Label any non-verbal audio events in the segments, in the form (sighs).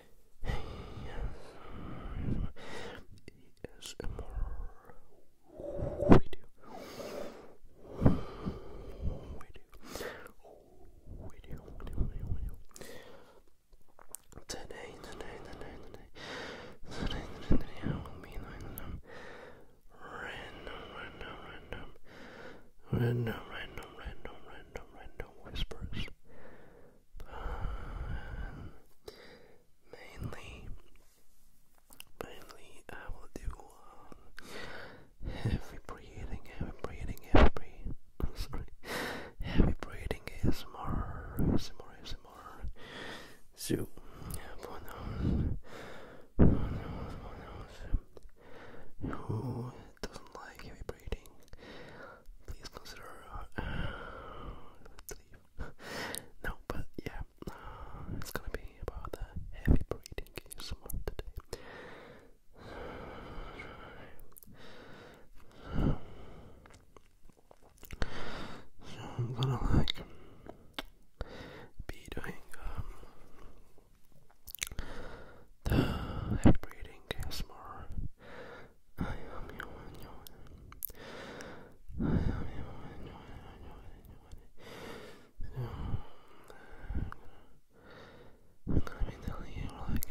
ASMR video. Video. Video. Video. Video. Today, today, today, today, today, today, today, will be random, random, random, random, random, random whispers mainly, mainly I will do heavy breathing, heavy breathing, heavy sorry, heavy breathing is more, is more, is more. So, for those who doesn't like heavy breathing, please consider uh, (sighs) No, but yeah, (sighs) it's gonna be about the heavy breathing ASMR today. So, (sighs) I'm gonna like be doing um the heavy breathing more. I am human, human. I am human, human, human, human. I'm gonna be telling you, like,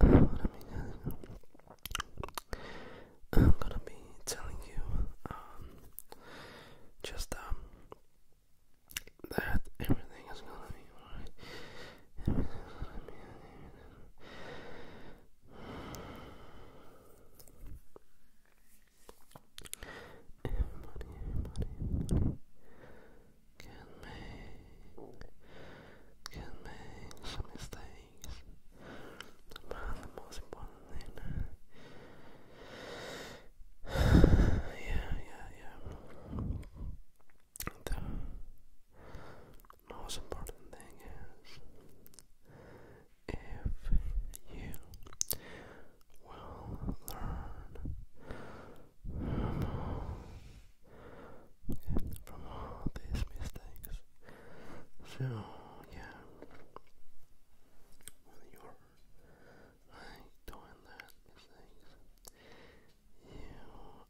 I'm gonna be telling you, um, just, um, that everything is gonna be alright everybody can make can make some mistakes. But the most important thing yeah, yeah, yeah. The most important thing is if you will learn from all, these mistakes. So, yeah, when you're doing that mistakes, you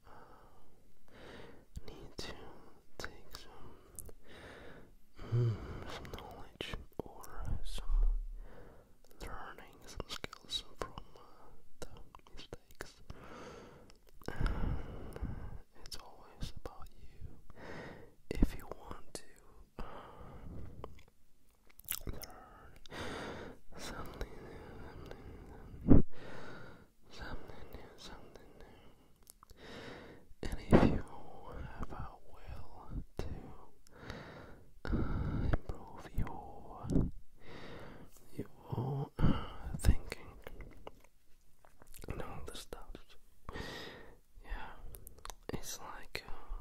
um, need to take mm, some, knowledge or some learning, some skills from uh, the mistakes. it's always about you. If you want to uh, learn something something new, something new. And if you have a will to uh, improve your your uh, thinking and the stuff, yeah, it's like uh,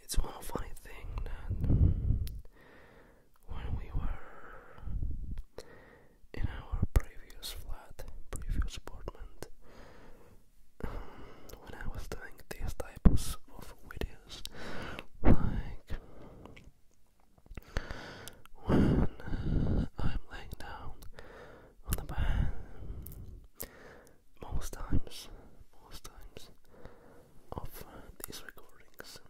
it's one funny thing that when we were in our previous flat, previous apartment, um, when I was doing these types of videos, like when uh, I'm laying down on the bed, most times, most times of uh, these recordings,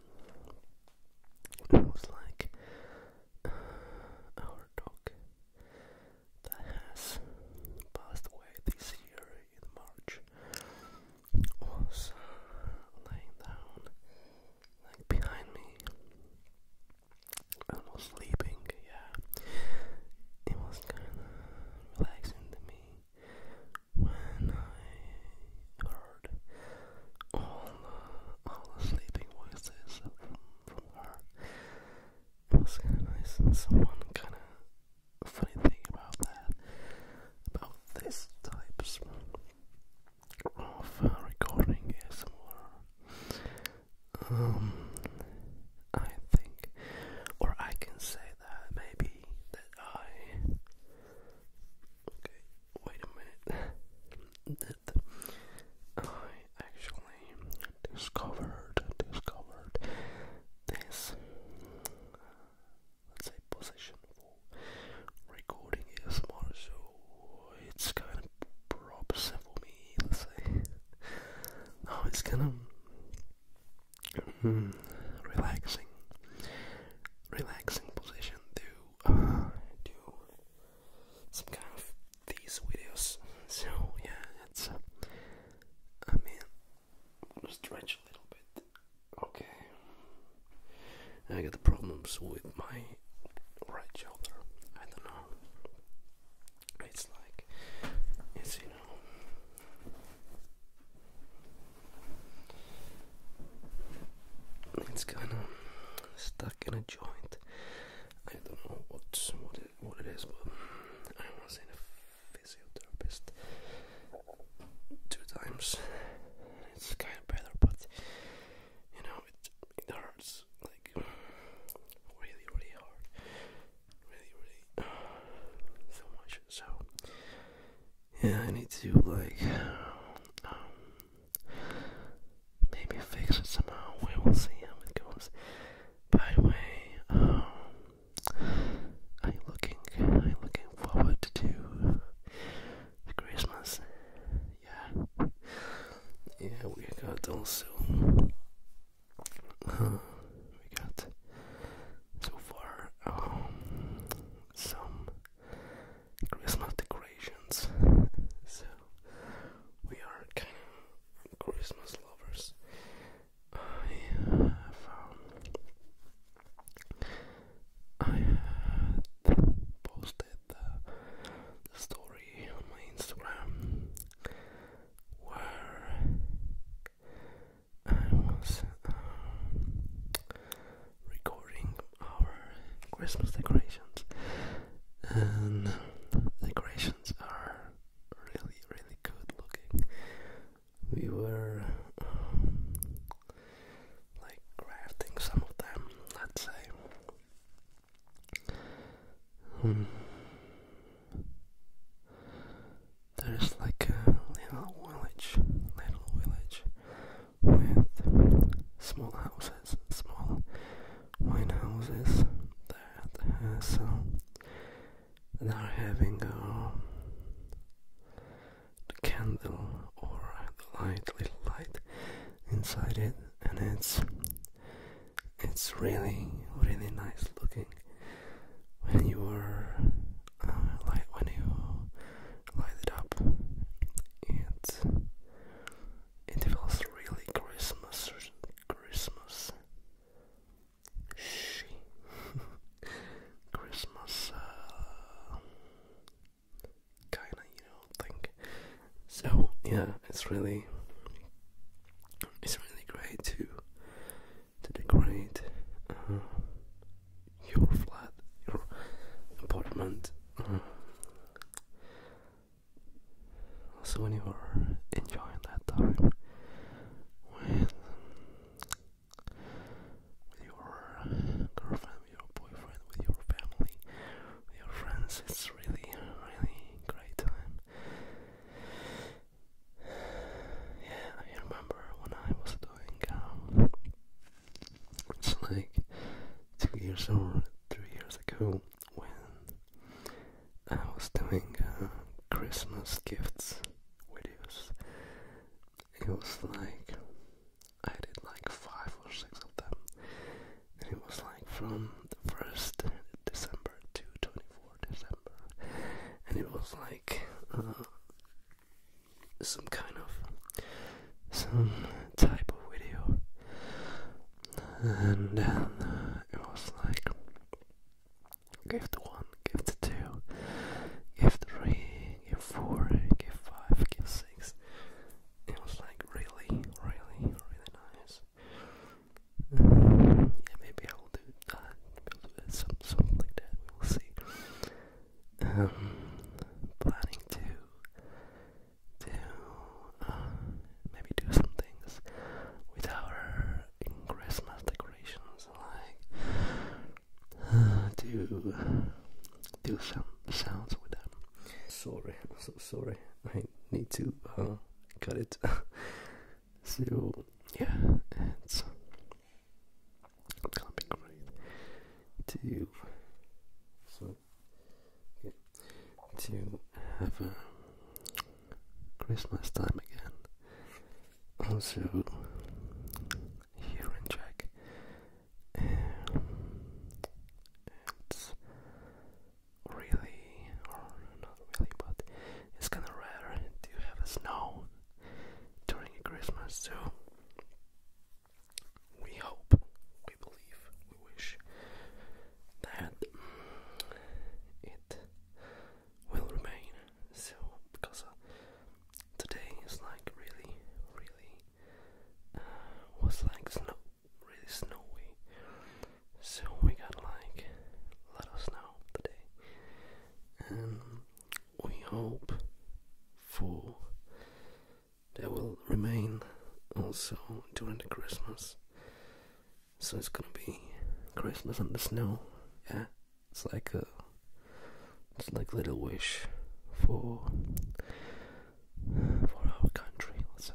it was like uh, our dog that has passed away this year in March was uh, laying down like behind me and was sleeping, yeah. It was kinda relaxing to me when I all, the sleeping voices from, was kind of nice, and kind of funny thing about that, about this types of uh, recording is more. Um, I think, or I can say that maybe that I. Okay, wait a minute that I actually discovered discovered this let's say position for recording ASMR so it's kind of props for me let's say now it's kind of hmm, relaxing relaxing position to do some kind of these videos. (laughs) So yeah, it's. Uh, I mean, i stretch a little bit. Okay. I got problems with my right shoulder. I don't know. It's like it's you know. It's kind of stuck in a joint. I don't know what what it is, but I was in a physiotherapist two times. It's kind of better, but you know it hurts like really, really hard, really, really (sighs) so much. So yeah, I need to like um, maybe fix it somehow. We will see how it goes. By the way, I'm um, looking, I'm looking forward to the Christmas. Yeah, yeah, we got also, we got so far um, some Christmas decorations. (laughs) so we are kind of Christmas lovers. I have um, posted the, story on my Instagram where I was um, recording our Christmas decorations, and decorations are really, really good looking. We were um, like crafting some of them, let's say. Um, there's like a little village, little village with small houses, small wine houses that has some uh, that are having a uh, candle or the light, little light inside it, and it's it's really really nice looking when you are uh, light when you light it up. It it was really Christmas. Christmas. She. (laughs) Christmas. Uh, kinda, you know, think. So yeah, it's really. It's really great to to decorate uh, your flat, your apartment. Uh, so when you are enjoying that time, when with your girlfriend, with your boyfriend, with your family, with your friends, it's really, really great time. Yeah, I remember when I was doing um, it's like two years or three years ago when I was doing uh, Christmas gifts videos. It was like I did like five or six of them, and it was like from the first December to 24 December, and it was like uh, some kind of some type of video, and then uh, it was like give the one, give the two, give the three, give four, give five, give six. It was like really, really, really nice. Mm, yeah, maybe I will do that, some, something like that. We'll see. Um, planning to to uh, maybe do some things with our Christmas decorations, like uh, to do some sounds with them. Sorry, so sorry. I need to uh, cut it. (laughs) so yeah, it's it's gonna be great to. So to have a Christmas time again. Also, here in Czech, it's really, or not really, but it's kind of rare to have a snow during Christmas, too? we hope, we believe, we wish that it will remain. So, because uh, today is like really, really uh, was like snow, really snowy. So we got like a lot of today, and we hope for there will remain also during the Christmas. So it's gonna be Christmas and the snow. Yeah, it's like a, it's like Little Wish for for our country, let's say,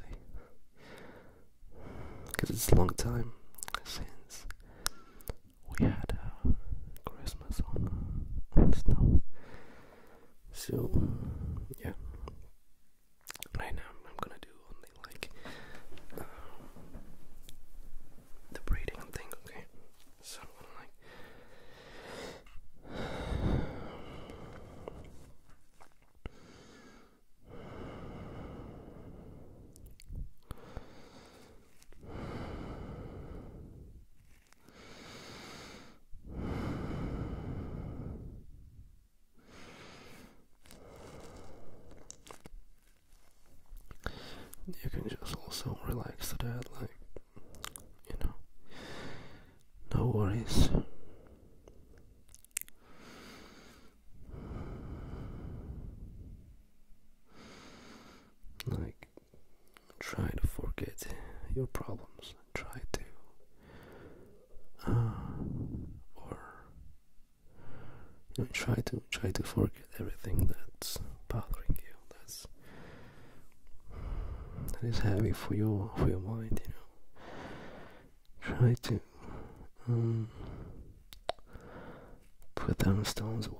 because it's a long time since we had a Christmas on snow. So yeah right now I'm gonna do only like um, the breathing thing, okay? So like you can just also relax to that, like, you know, no worries. Like, try to forget your problems, try to uh, or try to try to forget everything that's bothering you. That's that is heavy for your for your mind. You know, try to um, put them stones away.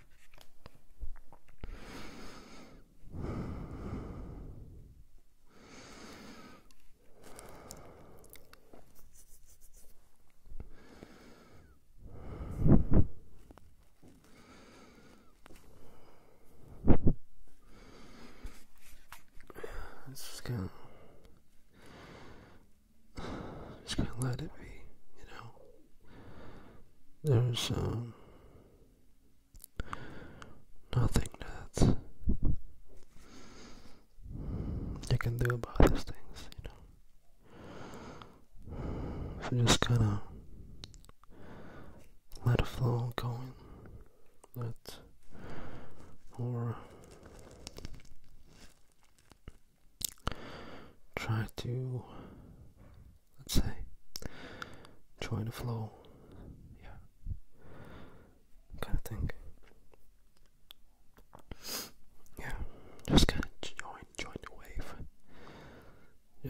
Let's just go. Just gonna let it be, you know. There's um, nothing that you can do about these things, you know. So just kind of let it flow going. Let or try to let's say, join the flow, yeah, kind of thing. Yeah, just kind of join, join the wave.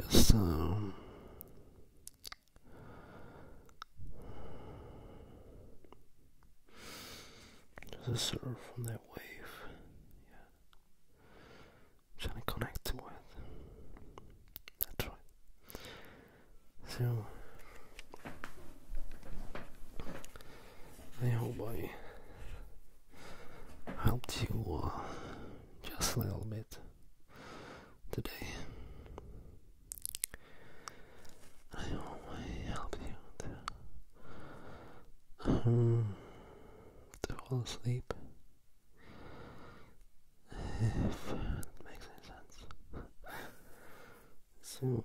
Just um, just surf on that wave. Yeah trying to connect to with. That's right. So I hope I helped you uh, just a little bit today. I hope I helped you to hmm, fall asleep. If makes any sense. so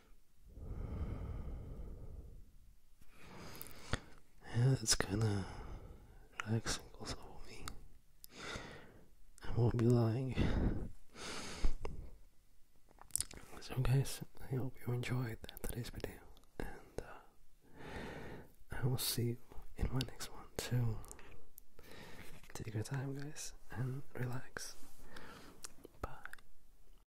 Yeah, it's kinda relaxing also for me. I won't be lying. So guys, I hope you enjoyed today's video and uh, I will see you in my next one too. Take your time guys and relax. Bye.